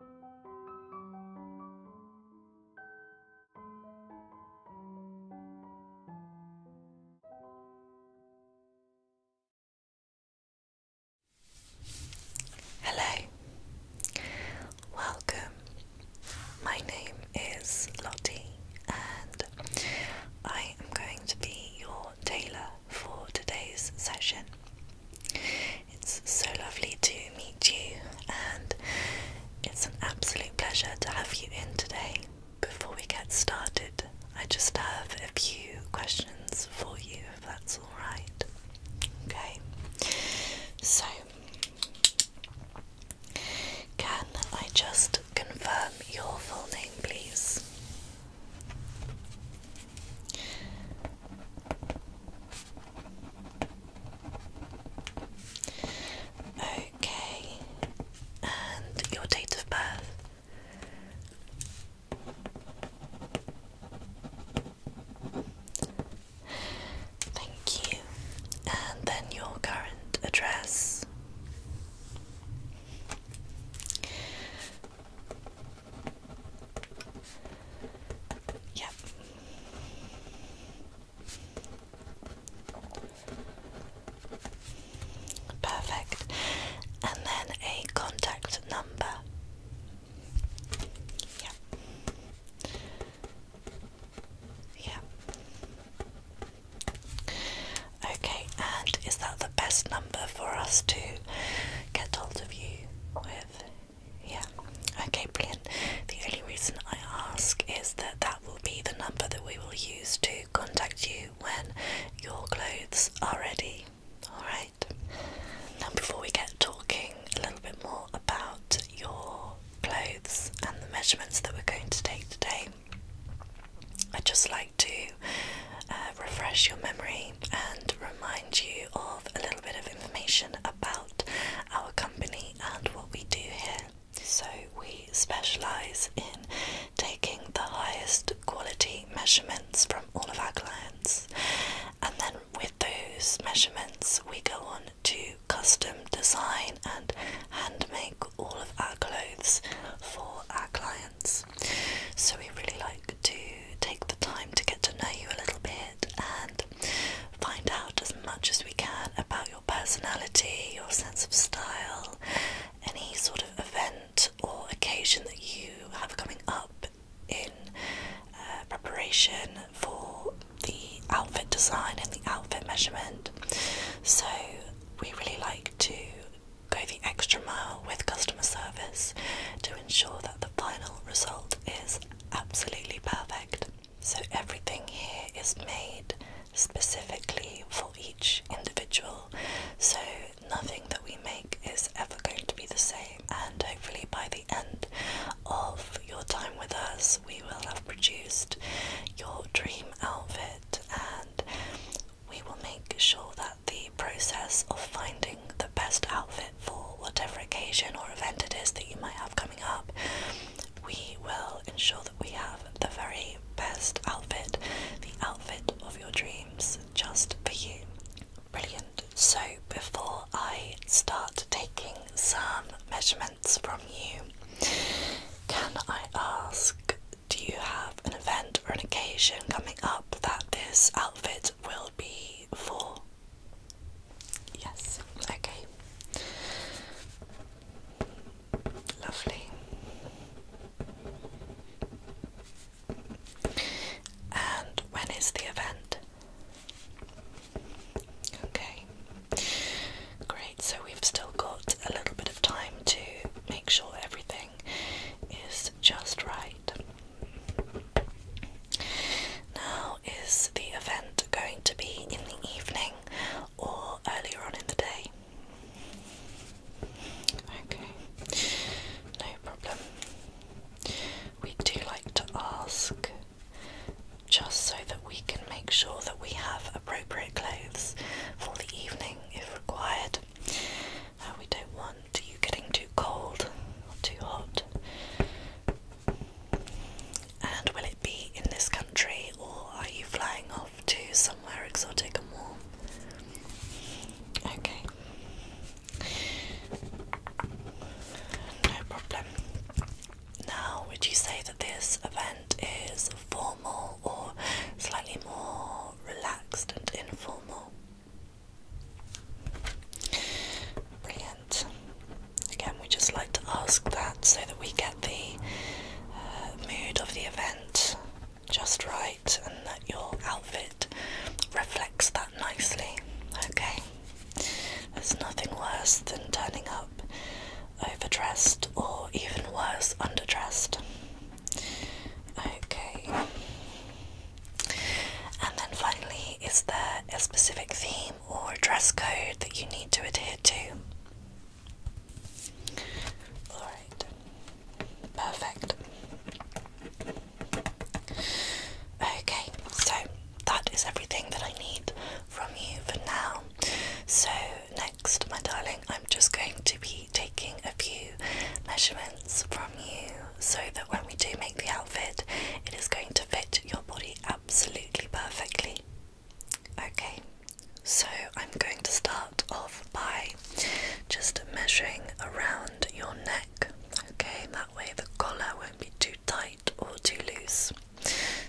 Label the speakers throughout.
Speaker 1: Hello, welcome. My name is Lottie, and I am going to be your tailor for today's session. It's so lovely to meet you, and it's an absolute pleasure to have you in today. Before we get started, I just have a few questions for you, if that's alright. Okay, so can I just confirm your full name, please? Okay, and your date of birth. Thank you. And then your current address. Yep. Perfect. And then a contact number. Yep. Yep. Okay, and is that the best number for us to get hold of you with? Yeah. Okay, brilliant. The only reason I ask is that that will be the number that we will use to contact you when your clothes are ready. Alright? Now, before we get talking a little bit more about your clothes and the measurements that we're going to take today, I'd just like to uh, refresh your memory and remind you of a little bit of information about our company and what we do here. So, we specialise in taking the highest quality measurements from all of our clients, and then with those measurements, we go on to custom design and hand make all of our clothes for our clients. So we really like to take the time to get to know you a little bit and find out as much as we can about your personality, your sense of style, any sort of event or occasion that you have coming up in uh, preparation for the outfit design and the outfit measurement. So we really like to go the extra mile with customer service to ensure that the final result is absolutely perfect. So everything here is made specifically for each individual. So nothing that we make is ever going to be the same. And hopefully by the end of your time with us, we will have produced your dream outfit and we will make sure that the process of finding the best outfit for whatever occasion or event it is that you might have coming up, we will ensure that we have the very best outfit, the outfit of your dreams, just for you. Brilliant. So, before I start taking some measurements from you, can I ask do you have an event for an occasion coming up that this outfit will be for? Yes, okay. Lovely. And when is the event? Okay. Great, so we've still got a little bit of time to make sure everything is just right. Now, is the event going to be in the evening or earlier on in the day? Okay, no problem. We do like to ask just so that we can make sure that we have appropriate clothes for the evening if required. Uh, we don't want you getting too cold or too hot. And will it be in this country or are you flying off to somewhere exotic and warm? Okay. No problem. Now, would you say that this event is formal or slightly more relaxed and informal? Brilliant. Again, we just like to ask that so that we get the uh, mood of the event just right and that your outfit reflects that nicely. Okay, there's nothing worse than turning up overdressed or even worse, underdressed. Okay. And then finally, is there a specific theme or dress code that you need to adhere to? Alright. Perfect. Okay, so that is everything that I need from you for now. So, next, my darling, I'm just going to be taking a few measurements from you so that when we do make the outfit, it is going to fit your body absolutely perfectly. Okay, so I'm going to start off by just measuring around your neck. Okay, that way the collar won't be too tight or too loose.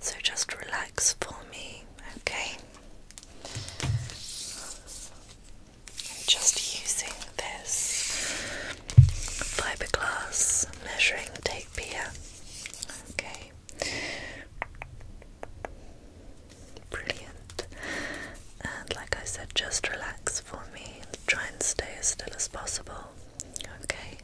Speaker 1: So just relax for me, okay? I'm just using this fiberglass measuring tape here. Okay. Brilliant. And like I said, just relax for me. Try and stay as still as possible. Okay.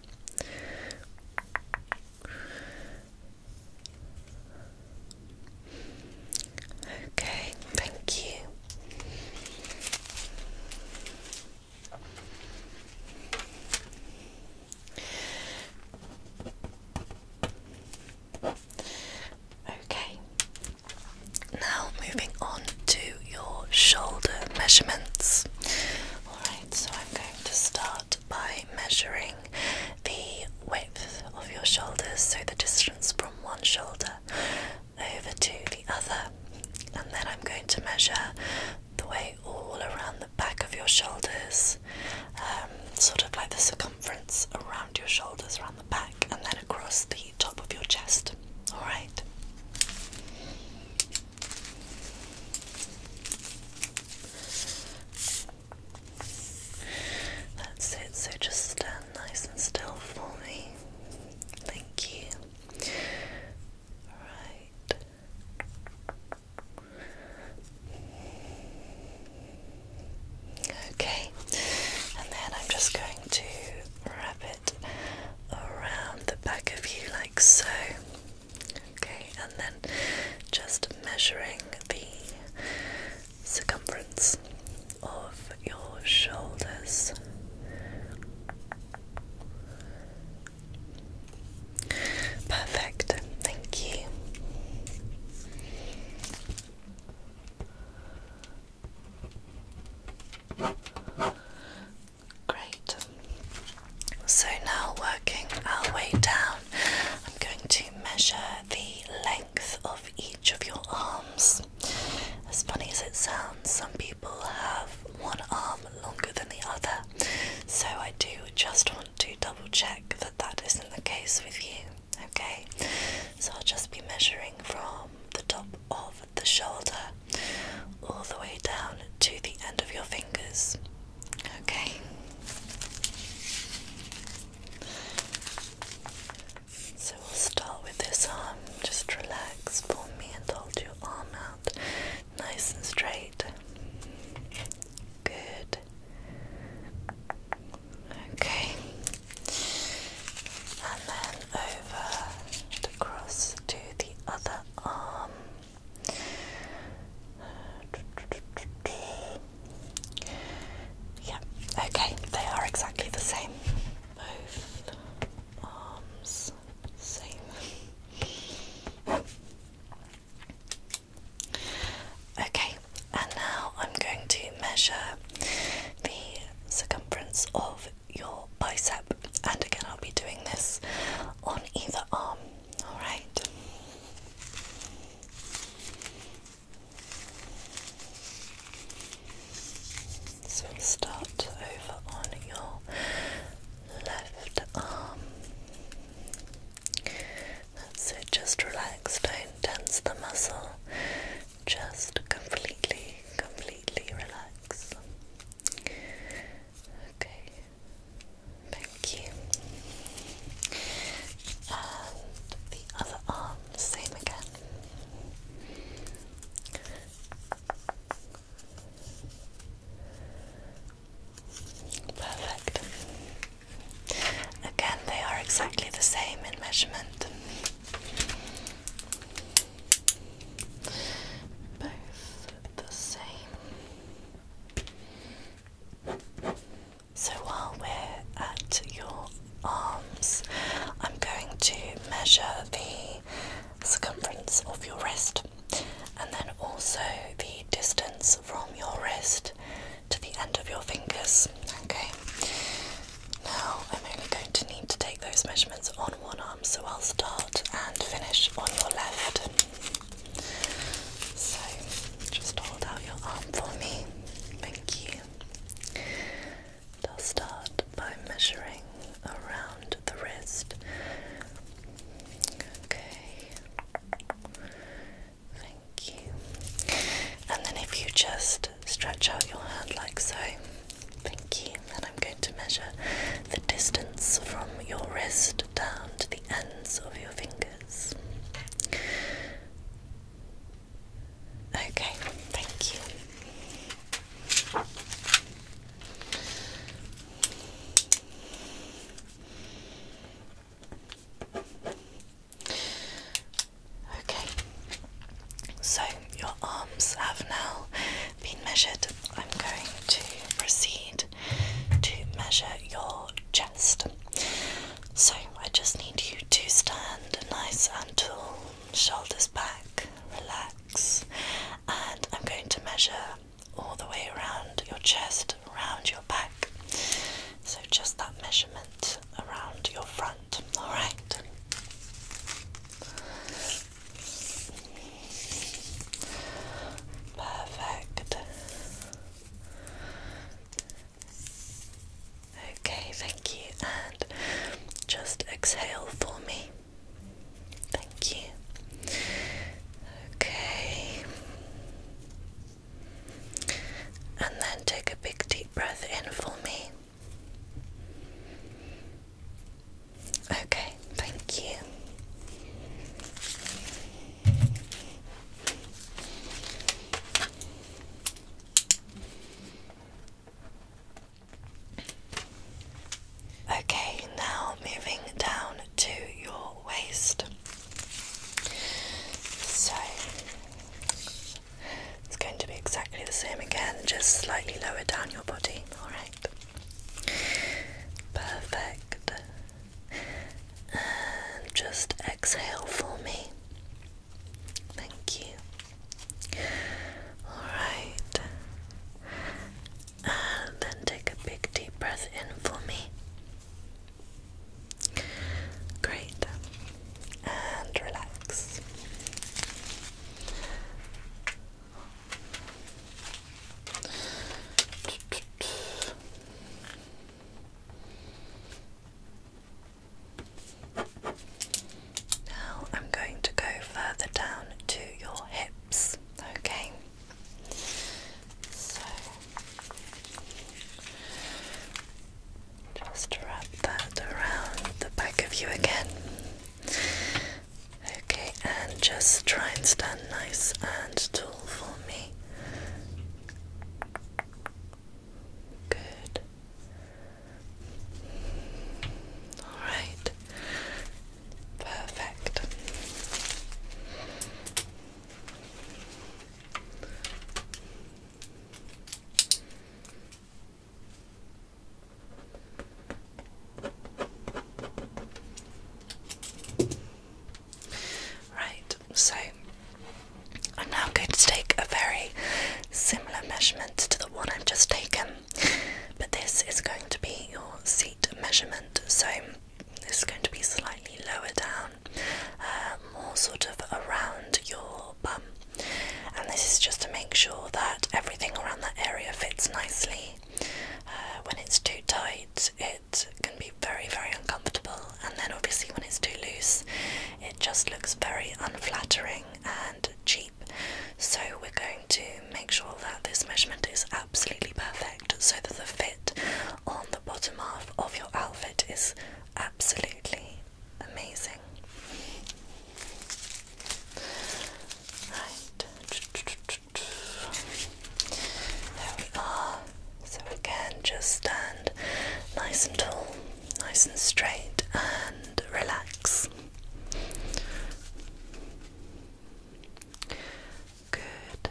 Speaker 1: Okay, thank you. Okay, now moving on to your shoulder measurements. Alright, so I'm going to start by measuring the width of your shoulders, so the distance from one shoulder over to the other, and then I'm going to measure the way all around the back of your shoulders, um, sort of like the circumference around your shoulders, around the back, and then across the top of your chest. Alright? That's it, so just stand nice and still for me. Thank you. Right. Okay, and then I'm just going to wrap it around the back of you like so. Okay, and then just measuring the circumference of your shoulders. Perfect, thank you. Great. So now, working our way down, I'm going to measure the length of of each of your arms. As funny as it sounds, some people have one arm longer than the other, so I do just want to double check that that isn't the case with you, okay? So I'll just be measuring from the top of the shoulder all the way down to the end of your fingers, okay? So we'll start with this arm. Just relax for me and hold your arm out nice and straight. Good. Okay. And then over and across to the other arm. Yeah, okay, they are exactly the same. Both arms, same. Okay, and now I'm going to measure the circumference of your bicep, and again, I'll be doing this on either arm, alright? So start over on your left arm. So just relax, don't tense the muscle. Just completely, completely relax. Okay. Thank you. And the other arm, same again. Perfect. Again, they are exactly the same in measurement. Both the same. So while we're at your arms, I'm going to measure the circumference of your wrist and then also the distance from your wrist to the end of your fingers. Okay, now I'm only going to need to take those measurements on one arm, so I'll start and finish on your left. So just hold out your arm for me. Thank you. I'll start by measuring around the wrist. Okay. Thank you. And then if you just stretch out your hand like so. Thank you. And I'm going to measure the distance from your wrist down to the ends of your fingers. Okay, thank you. Okay, so your arms have now been measured. I'm going to proceed to measure your chest. So I just need you to stand nice and tall, shoulders back, relax, and I'm going to measure all the way around your chest, around your back. So just that measurement around your front, alright? Perfect. Okay, thank you, and just exhale for me. Thank you. Okay. And then take a big deep breath in for me. Okay, thank you. Okay, now moving down to your waist. So it's going to be exactly the same again, just slightly lower down your body, alright? Perfect and just exhale for me. Thank you. Alright. then take a big deep breath in for me. Great. And relax. Now I'm going to go further down to your hips, okay? So just wrap that around the back of you again. Okay, and just try and stand nice and tall pull for me. Good. Alright. Perfect. Right, so I'm now going to take a very similar measurement to the one I've just taken, but this is going to be your seat measurement. So this is going to be slightly lower down, uh, more sort of around your bum, and this is just to make sure that everything around that area fits nicely. Uh, when it's too tight, it can be very, very uncomfortable. And then, obviously, when it's too loose, it just looks very unflattering and cheap. So, we're going to make sure that this measurement is absolutely perfect so that the fit on the bottom half of your outfit is absolutely amazing. Right. There we are. So again, just stand nice and tall, nice and straight, and relax. Good.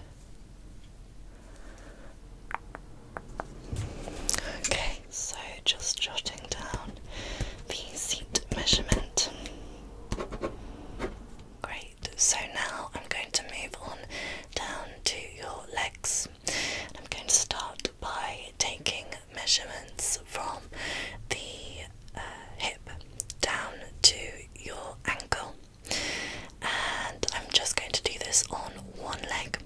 Speaker 1: Okay, so just jotting down the seat measurement. Great, so now I'm going to move on down to your legs. I'm going to start by taking measurements from the uh, hip down to your ankle, and I'm just going to do this on one leg,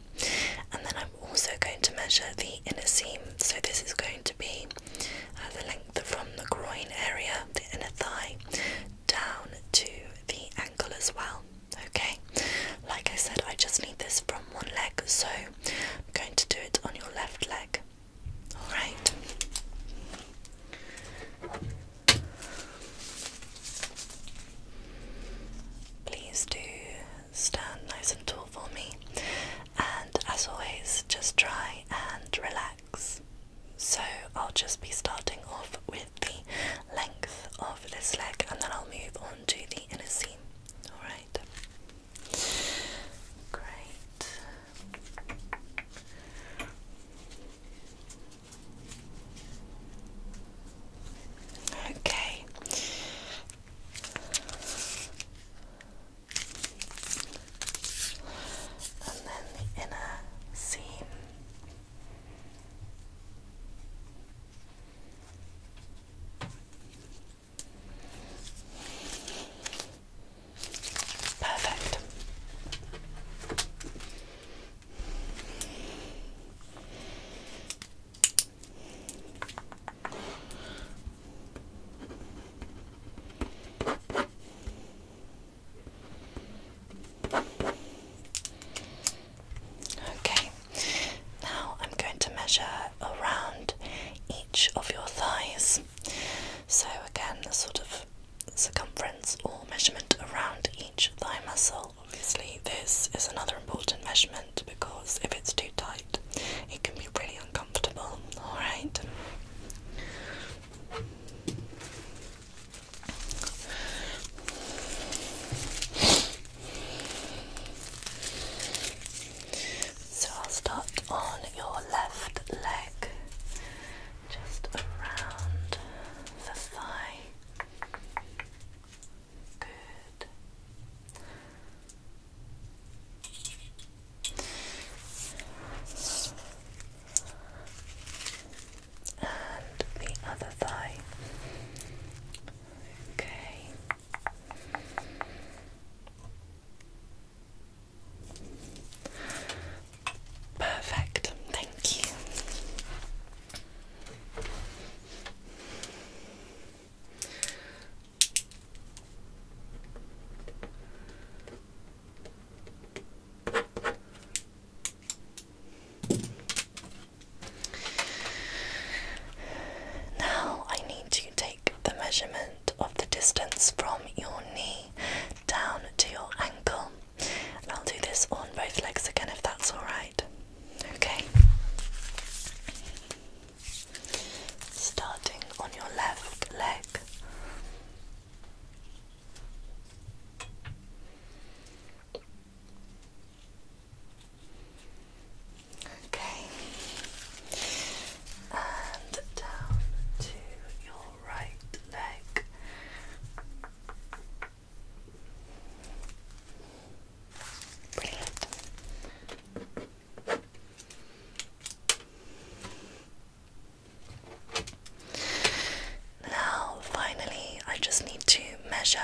Speaker 1: and then I'm also going to measure the inner seam. So, this is going to be uh, the length from the groin area, the inner thigh, down to the ankle as well. Okay, like I said, I just need this from one leg, so I'm going to do it on your left leg. Alright. Please do stand nice and tall for me, and as always, just try and relax. So I'll just be starting off with the length of this leg and then I'll move on to the inner seam. Alright. Great. Okay and then the inner seam. Perfect. Okay, now I'm going to measure around each of your thighs. So, again, the sort of circumference or measurement around each thigh muscle. Obviously, this is another important measurement because if it's too tight, it can be really uncomfortable. Alright. So I'll start on your left leg, just around the thigh. Good and the other thigh. Okay. Perfect. Thank you. Now I need to take the measurement of the distance from your knee down to your ankle. And I'll do this on both legs again if that's alright. Okay. Starting on your left leg back. Okay, and down to your right leg. Brilliant. Now, finally, I just need to measure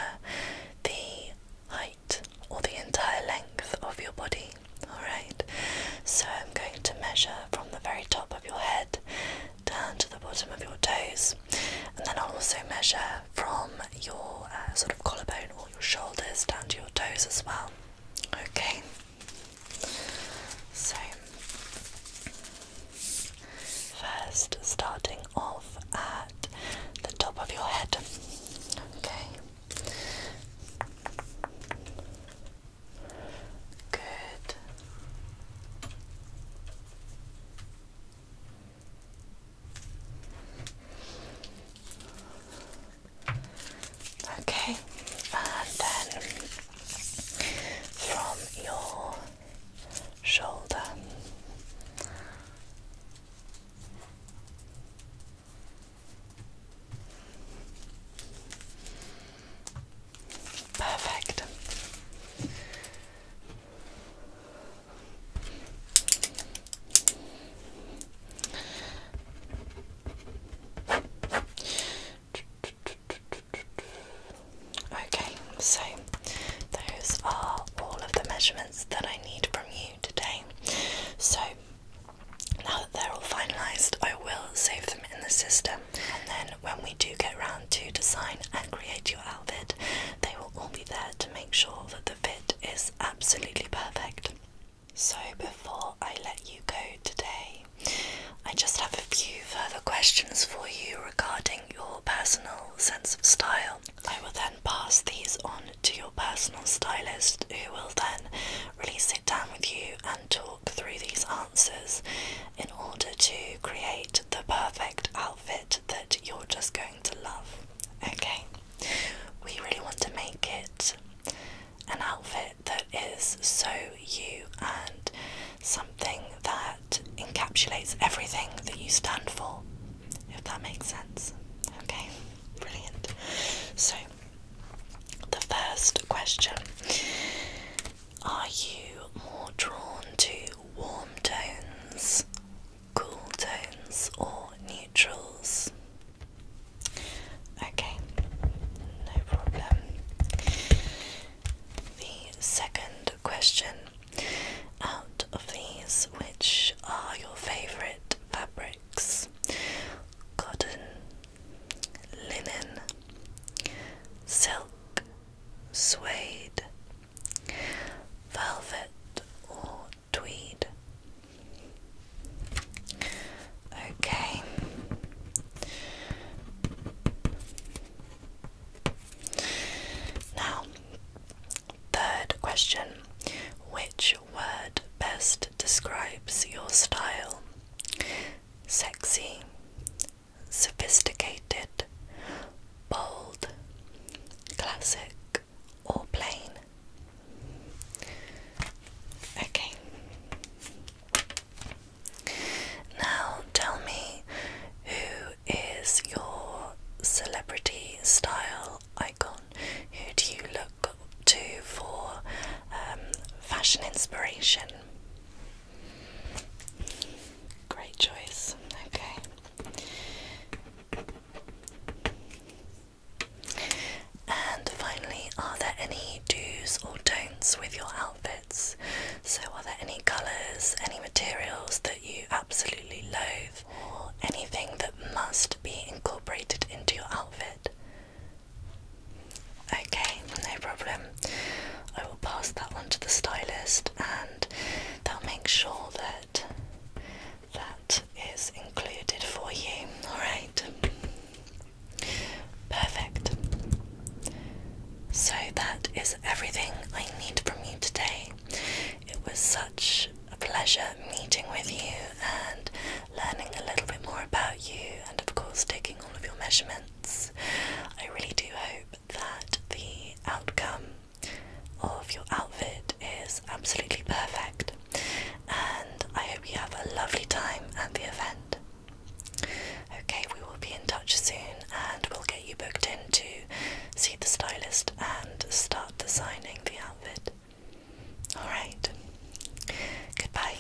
Speaker 1: the height or the entire length of your body. Alright, so I'm going to measure from the very top of your head down to the bottom of your toes, and then I'll also measure from your uh, sort of collarbone or your shoulders down to your toes as well. Okay. So, first starting off at the top of your head, okay. Good. Okay, and then from your shoulder. Perfect. Okay, so those are all of the measurements that I need from you today. So now that they're all finalised, I will save them in the system, and then when we do get round to design and create your outfit, they will all be there to make sure that the fit is absolutely perfect. So, before I let you go today, I just have a few further questions for you regarding your personal sense of style. I will then pass these on to your personal stylist, who will then really sit down with you and talk through these answers in order to create the perfect outfit that you're just going to love. Okay, we really want to make it an outfit that is so you and something that encapsulates everything that you stand for, if that makes sense. Okay, brilliant. So, the first question Are you more drawn to warm tones, cool tones, or neutrals? Okay, no problem. The second question out of these, which are your favourite fabrics? Cotton, linen, silk, suede, velvet, or tweed. Okay. Now, third question Which word best describes your style? Sexy, sophisticated, bold, classic, or plain? Okay. Now tell me who is your celebrity style icon? Who do you look to for um, fashion inspiration? Great choice. Okay. And finally, are there any do's or don'ts with your outfits? So, are there any colours, any materials that you absolutely loathe, or anything that must be incorporated into your outfit? Okay, no problem. I will pass that on to the stylist and they'll make sure that that is included for you. Alright. Perfect. So that is everything I need from you today. It was such a pleasure meeting with you and learning a little bit more about you, and of course, taking all of your measurements. I really do hope that the outcome of your outfit is absolutely perfect. And I hope you have a lovely time at the event. Okay, we will be in touch soon and we'll get you booked in to see the stylist and start designing the outfit. Alright, goodbye.